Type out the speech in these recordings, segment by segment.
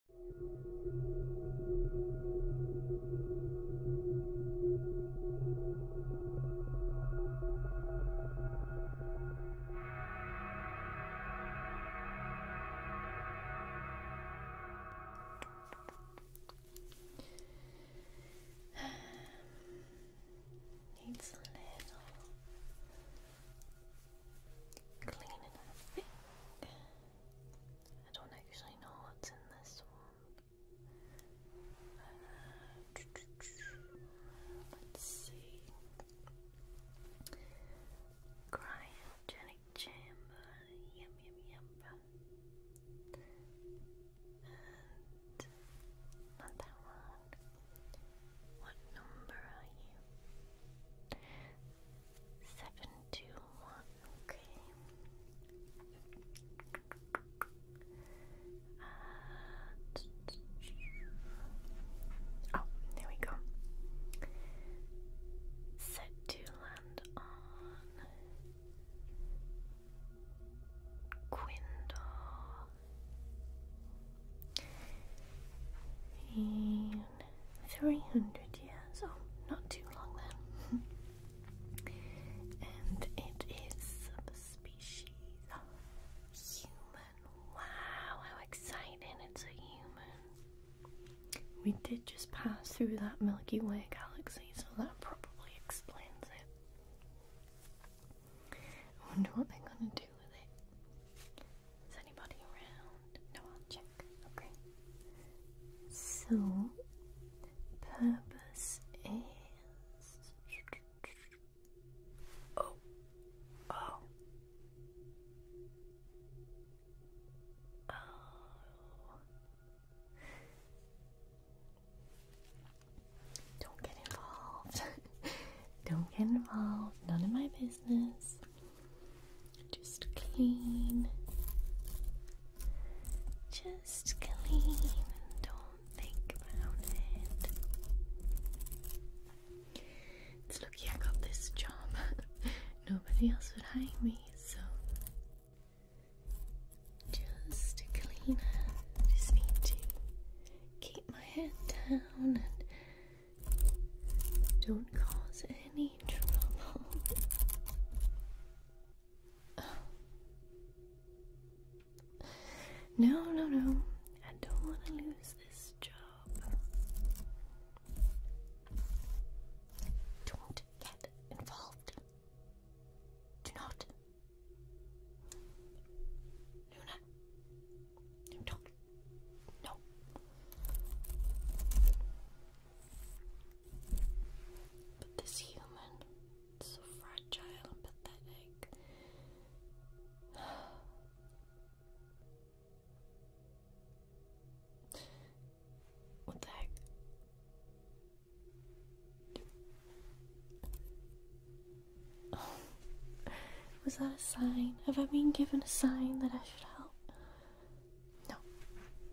Needs a little cleaning up. I don't actually know what's in this one. Uh, let's see. Cryogenic chamber. Yum, yum, yum. And not that one. What number are you? Seven, two, one. Okay. Uh, oh, there we go. Set to land on Quindle. And 300 years, oh, not too long then. and it is the species of human. Wow, how exciting! It's a human. We did just pass through that Milky Way galaxy, so that probably explains it. I wonder what they're gonna do with it. Is anybody around? No, I'll check. Okay. So, purpose is. Oh. Oh. Oh. Don't get involved. Don't get involved. None of my business. Just clean. Just clean don't think about it. It's lucky I got this job. Nobody else would hire me, so just clean up. Just need to keep my head down and don't cause any trouble. No, no, no. I don't want to lose this job. Don't get involved. Do not. Luna, do No. But this human so fragile pathetic. What the heck? Was that a sign? Have I been given a sign that I should help? No,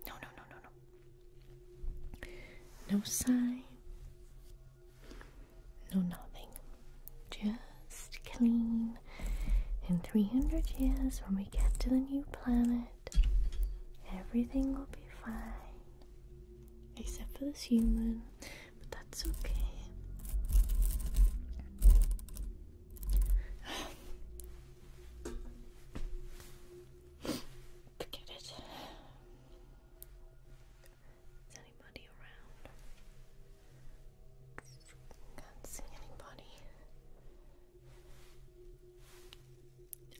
no, no, no, no, no. No sign. No nothing. Just clean. In 300 years, when we get to the new planet, everything will be fine. Except for this human, but that's okay. Forget it. Is anybody around? Can't see anybody.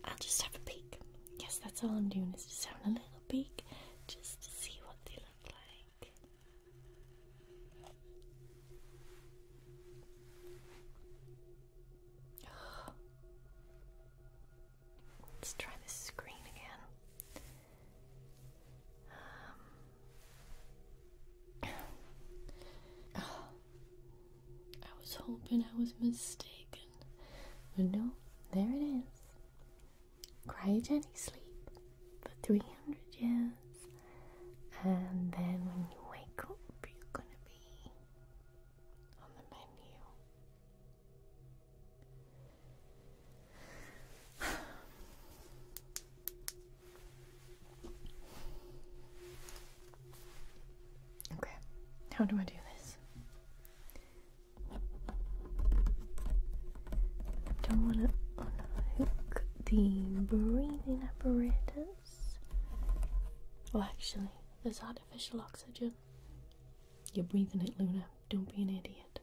I'll just have a peek. Yes, that's all I'm doing is just having a little peek just to see what they look like. Let's try this screen again. Um, I was hoping I was mistaken. But no, there it is. Cryogenic sleep for 300 years, and then when you wake up, you're gonna be on the menu. Okay, how do I do this? don't want to unhook the breathing apparatus. Well, actually, there's artificial oxygen. You're breathing it, Luna. Don't be an idiot.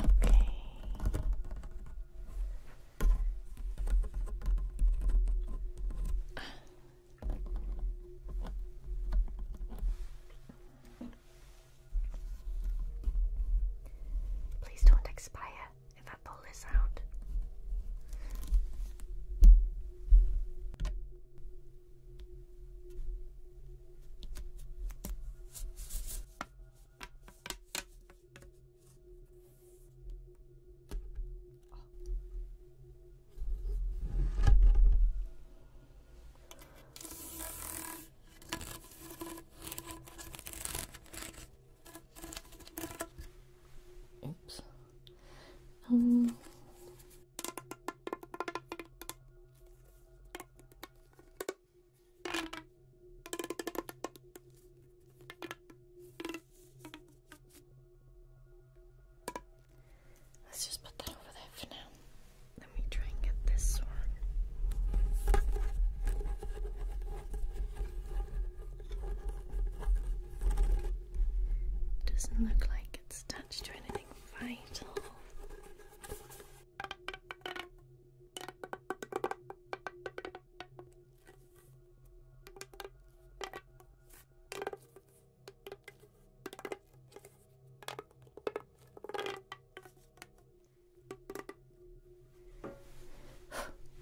Okay. Please don't expire if I pull this out. Oops. Um. Let's just put that over there for now. Let me try and get this one. Doesn't look like it's attached to anything vital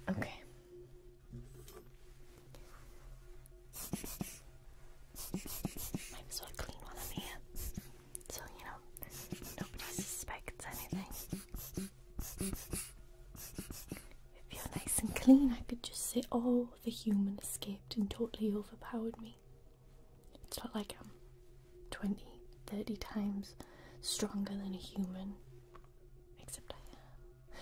okay. Might as well clean while I'm So, you know, nobody suspects anything. If you nice and clean, I could just say, oh, the human escaped and totally overpowered me. It's not like I'm 20, 30 times stronger than a human. Except I am.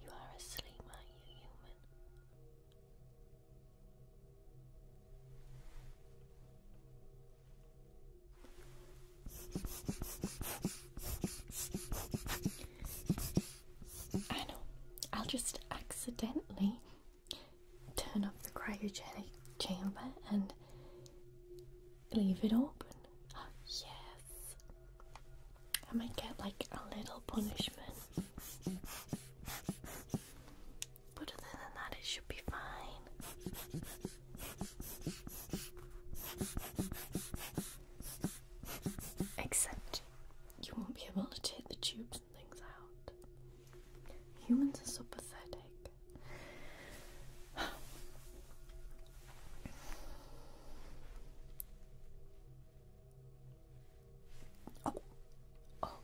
You are asleep, aren't you, human? I know. I'll just accidentally turn off the cryogenic chamber and leave it open. yes. I might get like a little punishment. But other than that, it should be fine. Except you won't be able to take the tubes and things out. Humans are so pathetic. oh, oh,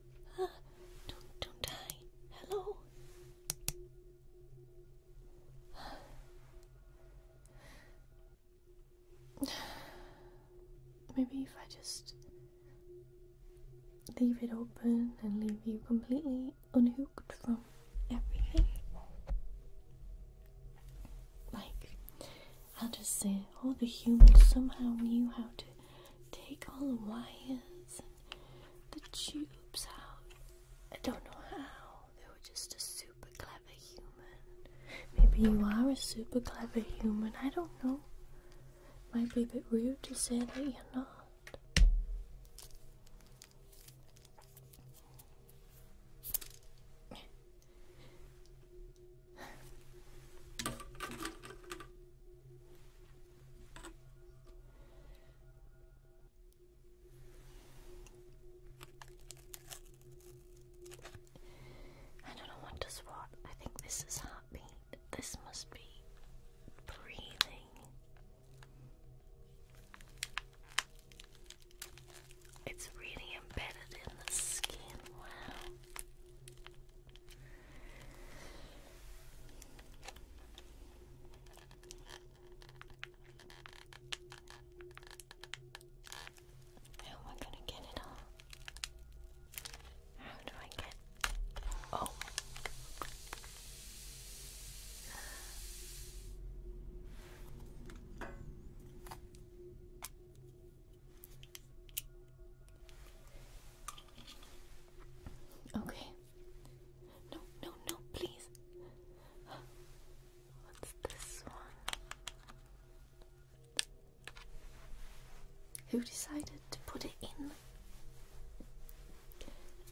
don't, don't die. Hello. Maybe if I just leave it open and leave you completely unhooked from everything. Like, I'll just say all the humans somehow knew how to take all the wires the tubes out. I don't know how. They were just a super clever human. Maybe you are a super clever human. I don't know. Might be a bit rude to say that you're not. I don't know what does what. I think this is heartbeat. This must be breathing. It's really embedded in the skin. Wow. How am I gonna get it all? How do I get oh Okay. No, no, no, please. What's this one? Who decided to put it in?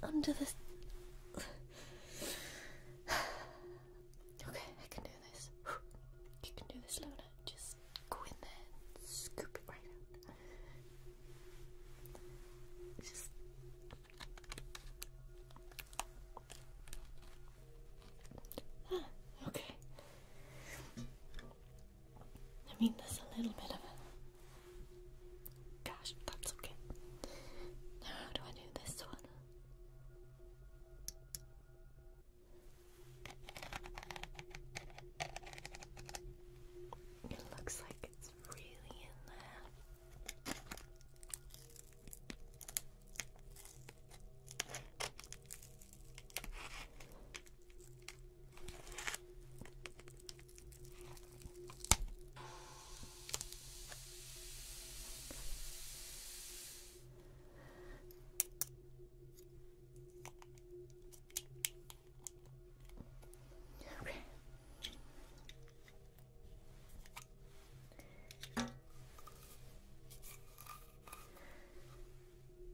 Under the. okay, I can do this. You can do this, Luna. Just go in there scoop it right out. okay. I mean, there's a little bit of a gosh, that's okay. Now, how do I do this one? It looks like it's really in there.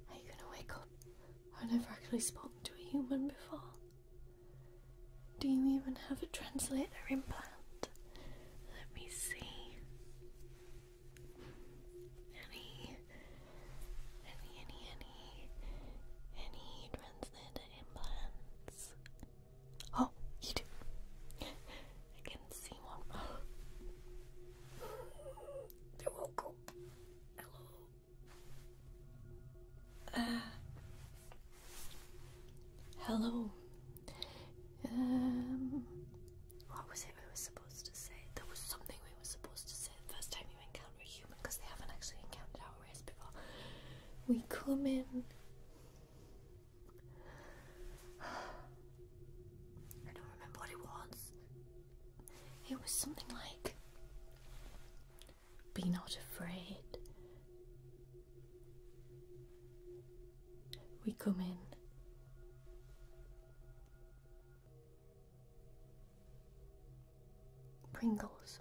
Are you gonna wake up? I've never actually spoken to a human before. Do you even have a translator implant? Let me see. Any any, any, any, any transcendent implants? Oh, you do. I can see one. Oh. are welcome. Hello. Uh, hello. Um, what was it we were supposed to say? There was something we were supposed to say the first time you went encounter a human because they haven't actually encountered our race before. We come in I don't remember what it was. It was something like be not afraid. We come in. Pringles.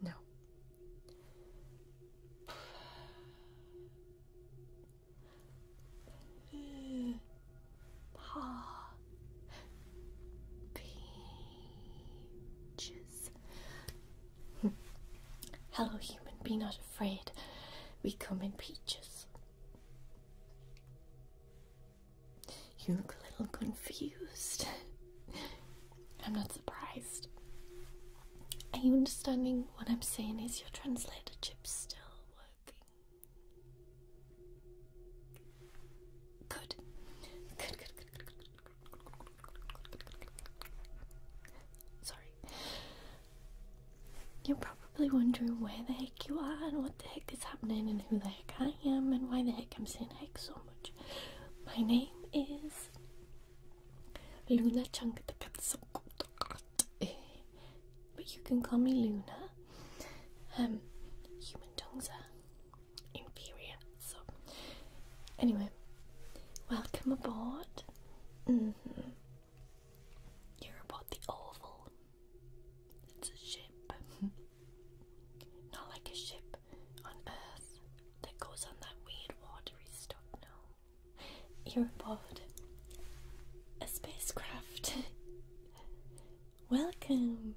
No. Peaches. Hello, human. Be not afraid. We come in peaches. You look a little confused. I'm not surprised. Are you understanding what I'm saying? Is your translator chip still working? Good. Good, good, Sorry. You're probably wondering where the you are and what the heck is happening and who the heck I am and why the heck I'm saying heck so much. My name is Luna but you can call me Luna. Um, human tongues are inferior, so anyway, welcome aboard. Mm-hmm. You're aboard the Oval. It's a ship. Not like a ship on Earth that goes on that weird watery stuff, no. You're aboard a spacecraft. Welcome!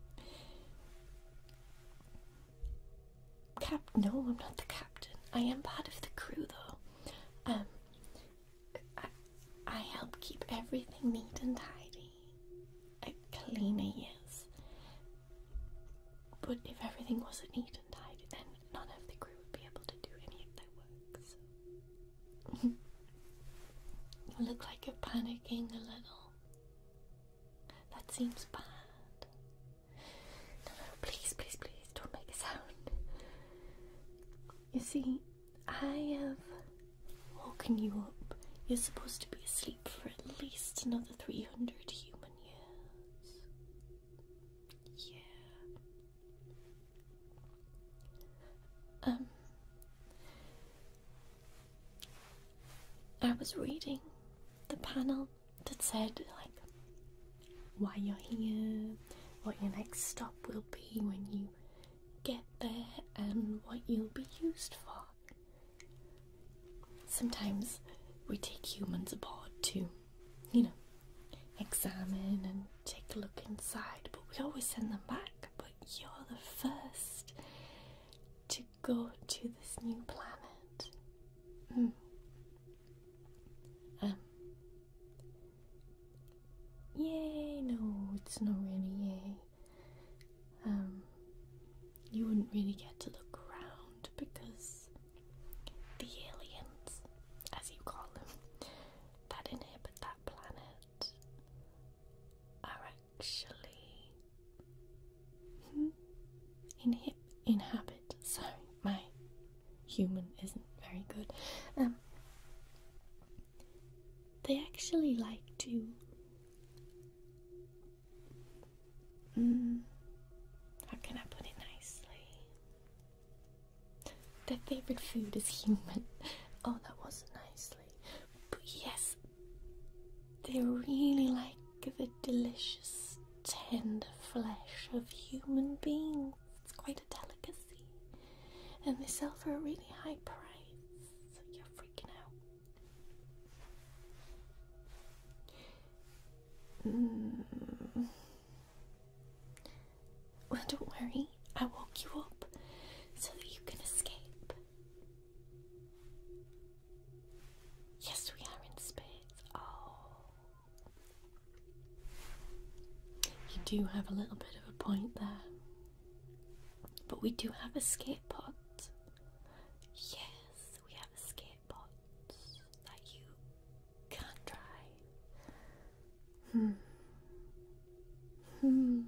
Cap- no, I'm not the captain. I am part of the crew though. Um, I, I help keep everything neat and tidy. A cleaner, yes. But if everything wasn't neat and tidy, then none of the crew would be able to do any of their work. you look like you're panicking a little. That seems bad. No, no, please, please, please, don't make a sound. You see, I have woken you up. You're supposed to be asleep for at least another 300 human years. Yeah. Um. I was reading the panel that said, like, why you're here, what your next stop will be when you get there and what you'll be used for. Sometimes we take humans aboard to, you know, examine and take a look inside, but we always send them back. But you're the first to go to this new planet. Hmm. Um, Yay! No, it's not really yay. Um, you wouldn't really get to the ground because the aliens, as you call them, that inhabit that planet are actually hmm, inhib inhabit. Sorry, my human isn't very good. Um, they actually like to. Mm, how can I put it nicely? Their favorite food is human. Oh, that wasn't nicely. But yes, they really like the delicious, tender flesh of human beings. It's quite a delicacy. And they sell for a really high price. you're freaking out. Mm. Well, don't worry. I woke you up so that you can escape. Yes, we are in space. Oh. You do have a little bit of a point there. But we do have a skate Yes, we have a skate that you can try. Hmm. Hmm.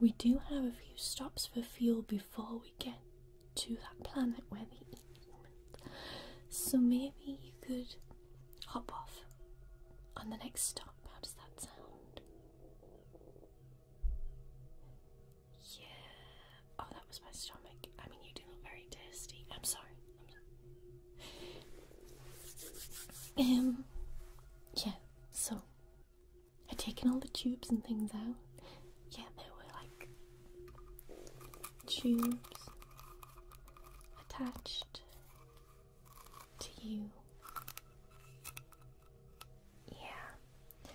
We do have a few stops for fuel before we get to that planet where the so maybe you could hop off on the next stop. How does that sound? Yeah. Oh, that was my stomach. I mean, you do look very tasty. I'm sorry. Um. Yeah. So, I've taken all the tubes and things out. Yeah, they were like tubes attached to you. Yeah.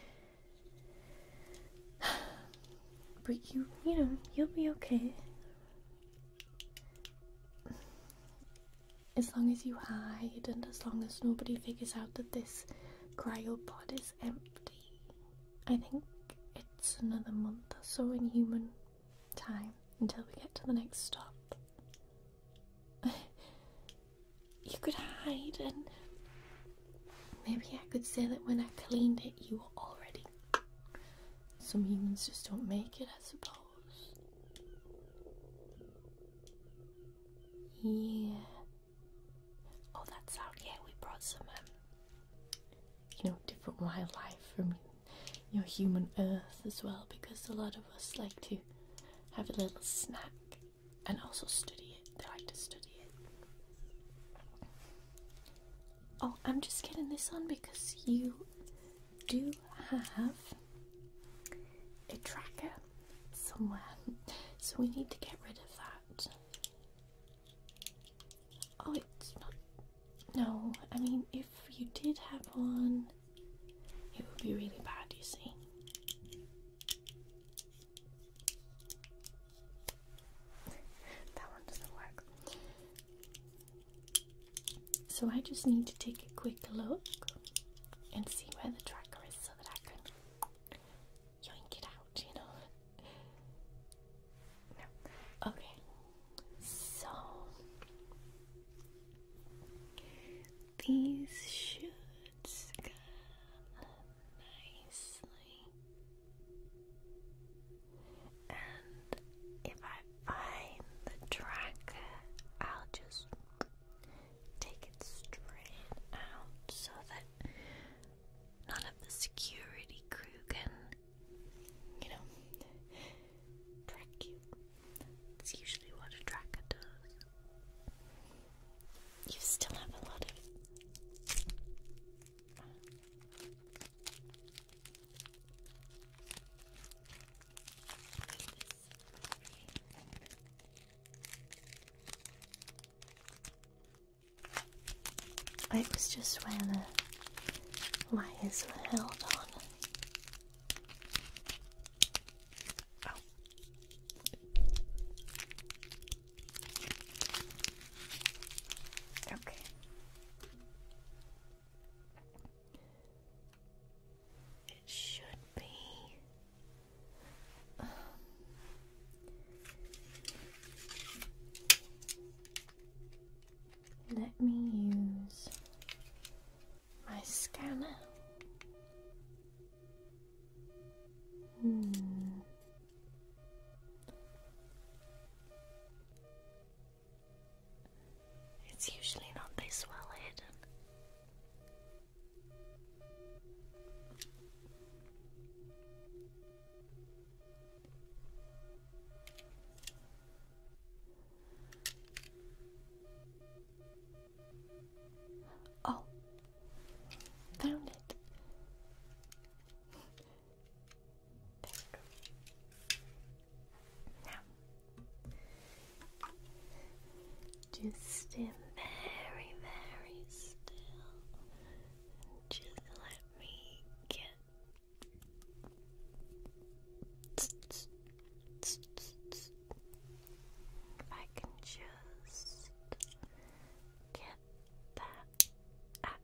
But you, you know, you'll be okay. As long as you hide and as long as nobody figures out that this cryopod is empty. I think it's another month or so in human time until we get to the next stop. you could hide, and maybe I could say that when I cleaned it, you were already. Some humans just don't make it, I suppose. Yeah. Oh, that's out. Yeah, we brought some um, you know, different wildlife from your human earth as well, because a lot of us like to have a little snack and also study it. They like to study it. Oh, I'm just getting this on because you do have a tracker somewhere, so we need to get rid of that. Oh, it's not. No, I mean, if you did have one, it would be really bad, you see. that one doesn't work. So I just need to take a quick look and see where the tracker is so that I can yoink it out, you know. Okay. So these should come nicely. And if I find the tracker, I'll just take it straight out so that none of the security crew can you know, track you. It's usually what a tracker does. You still have a lot of. Uh, this I was just where the wires were held on. Oh. Okay. It should be. Um, let me use my scanner. Hmm. It's usually not this well hidden. Oh, found it. There we go. Now, just stay very, very still. just let me get. I can just get that. Ah.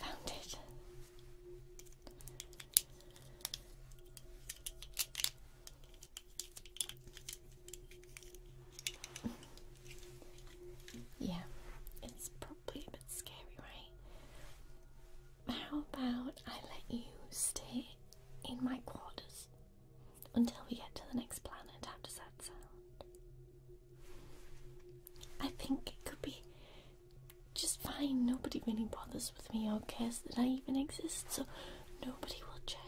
Found it. Yeah, it's probably a bit scary, right? How about I let you stay in my quarters until we get to the next planet? How does that sound? I think it could be just fine. Nobody really bothers with me or cares that I even exist, so nobody will check.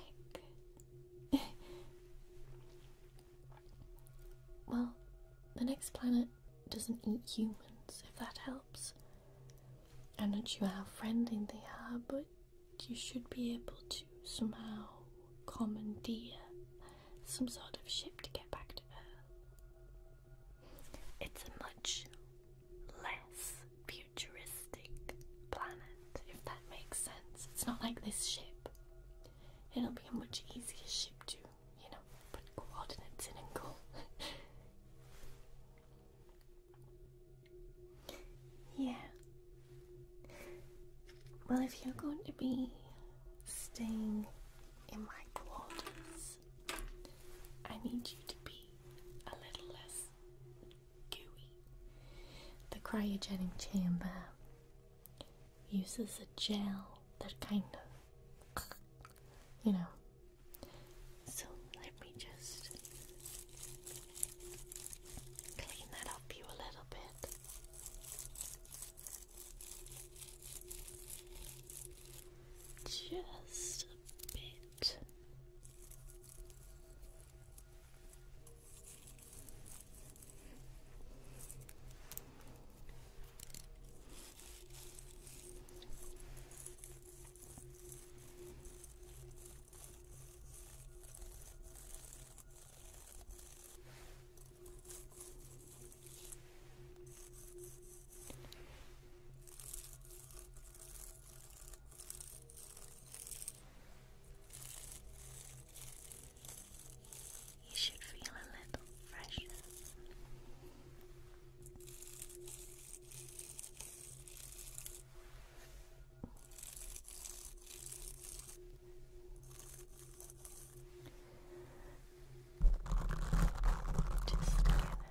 well, the next planet doesn't eat humans, if that helps. I'm not sure how friendly they are, but you should be able to somehow commandeer some sort of ship to get back to Earth. It's a much less futuristic planet, if that makes sense. It's not like this ship. It'll be a much easier ship to, you know, put coordinates in and go. yeah. Well, if you're going to be staying in my quarters, I need you to be a little less gooey. The cryogenic chamber uses a gel that kind of, you know. So let me just clean that up you a little bit. Just bit. You should feel a little fresh. Just gonna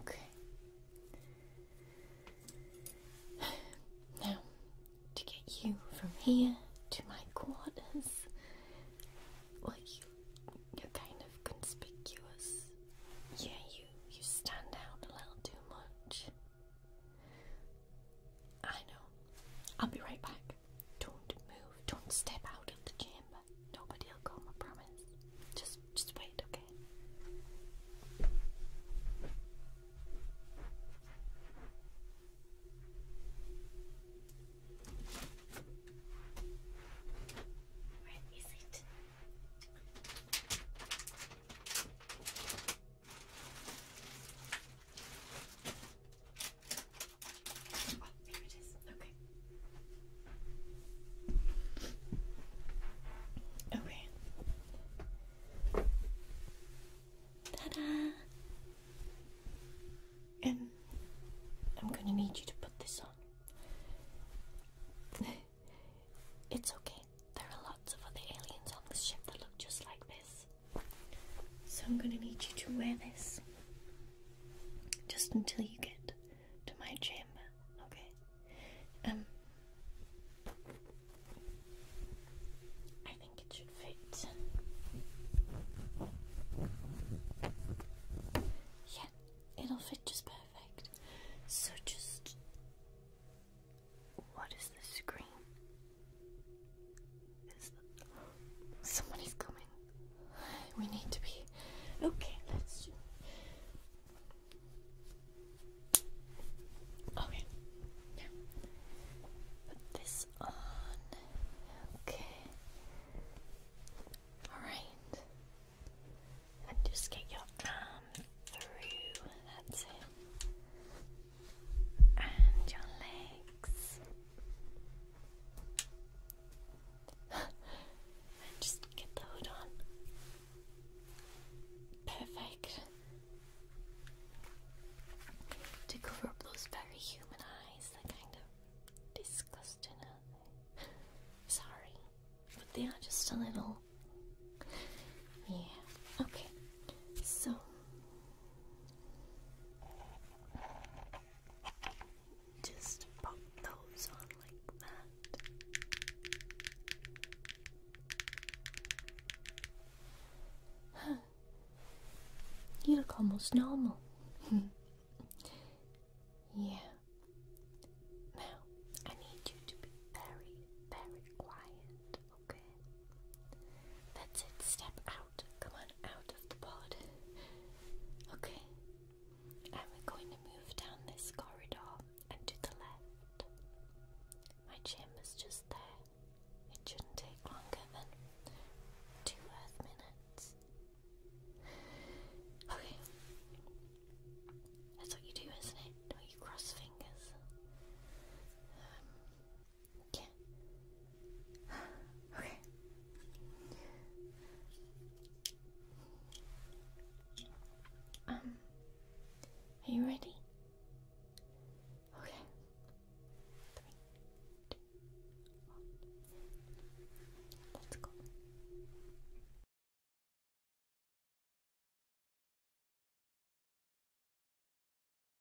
Okay. Now, to get you from here to my quarters, well, you, are kind of conspicuous. Yeah, you, you stand out a little too much. I know. I'll be right back. Don't move. Don't step out of the chamber. Nobody'll come, I promise. Just just wait, okay? Where is it? Okay. Okay. Ta-da! Um, I'm gonna need you to put this on. it's okay. There are lots of other aliens on this ship that look just like this. So I'm going to need you to wear this just until you get to my chamber, okay? Um, I think it should fit. Yeah, it'll fit just perfect. So just. What is the screen? Is the... coming. We need to be. Okay, let's do. Okay. put this on. Okay. Alright. And just get your arm through. That's it and your legs. and just get the hood on. Perfect. To cover up those very human eyes, they kind of disgusting, uh, Sorry, but they are just a little. Yeah, okay. So just pop those on like that. You look almost normal. yeah. Now I need you to be very, very quiet. Okay. That's it. Step out. Come on out of the pod. Okay. And we're going to move down this corridor and to the left. My chamber's just there. It shouldn't take longer than two Earth minutes. Okay. That's what you do, isn't it? you cross fingers. Um, Okay. Okay. Um, are you ready? Okay. Three, two, one. Let's go.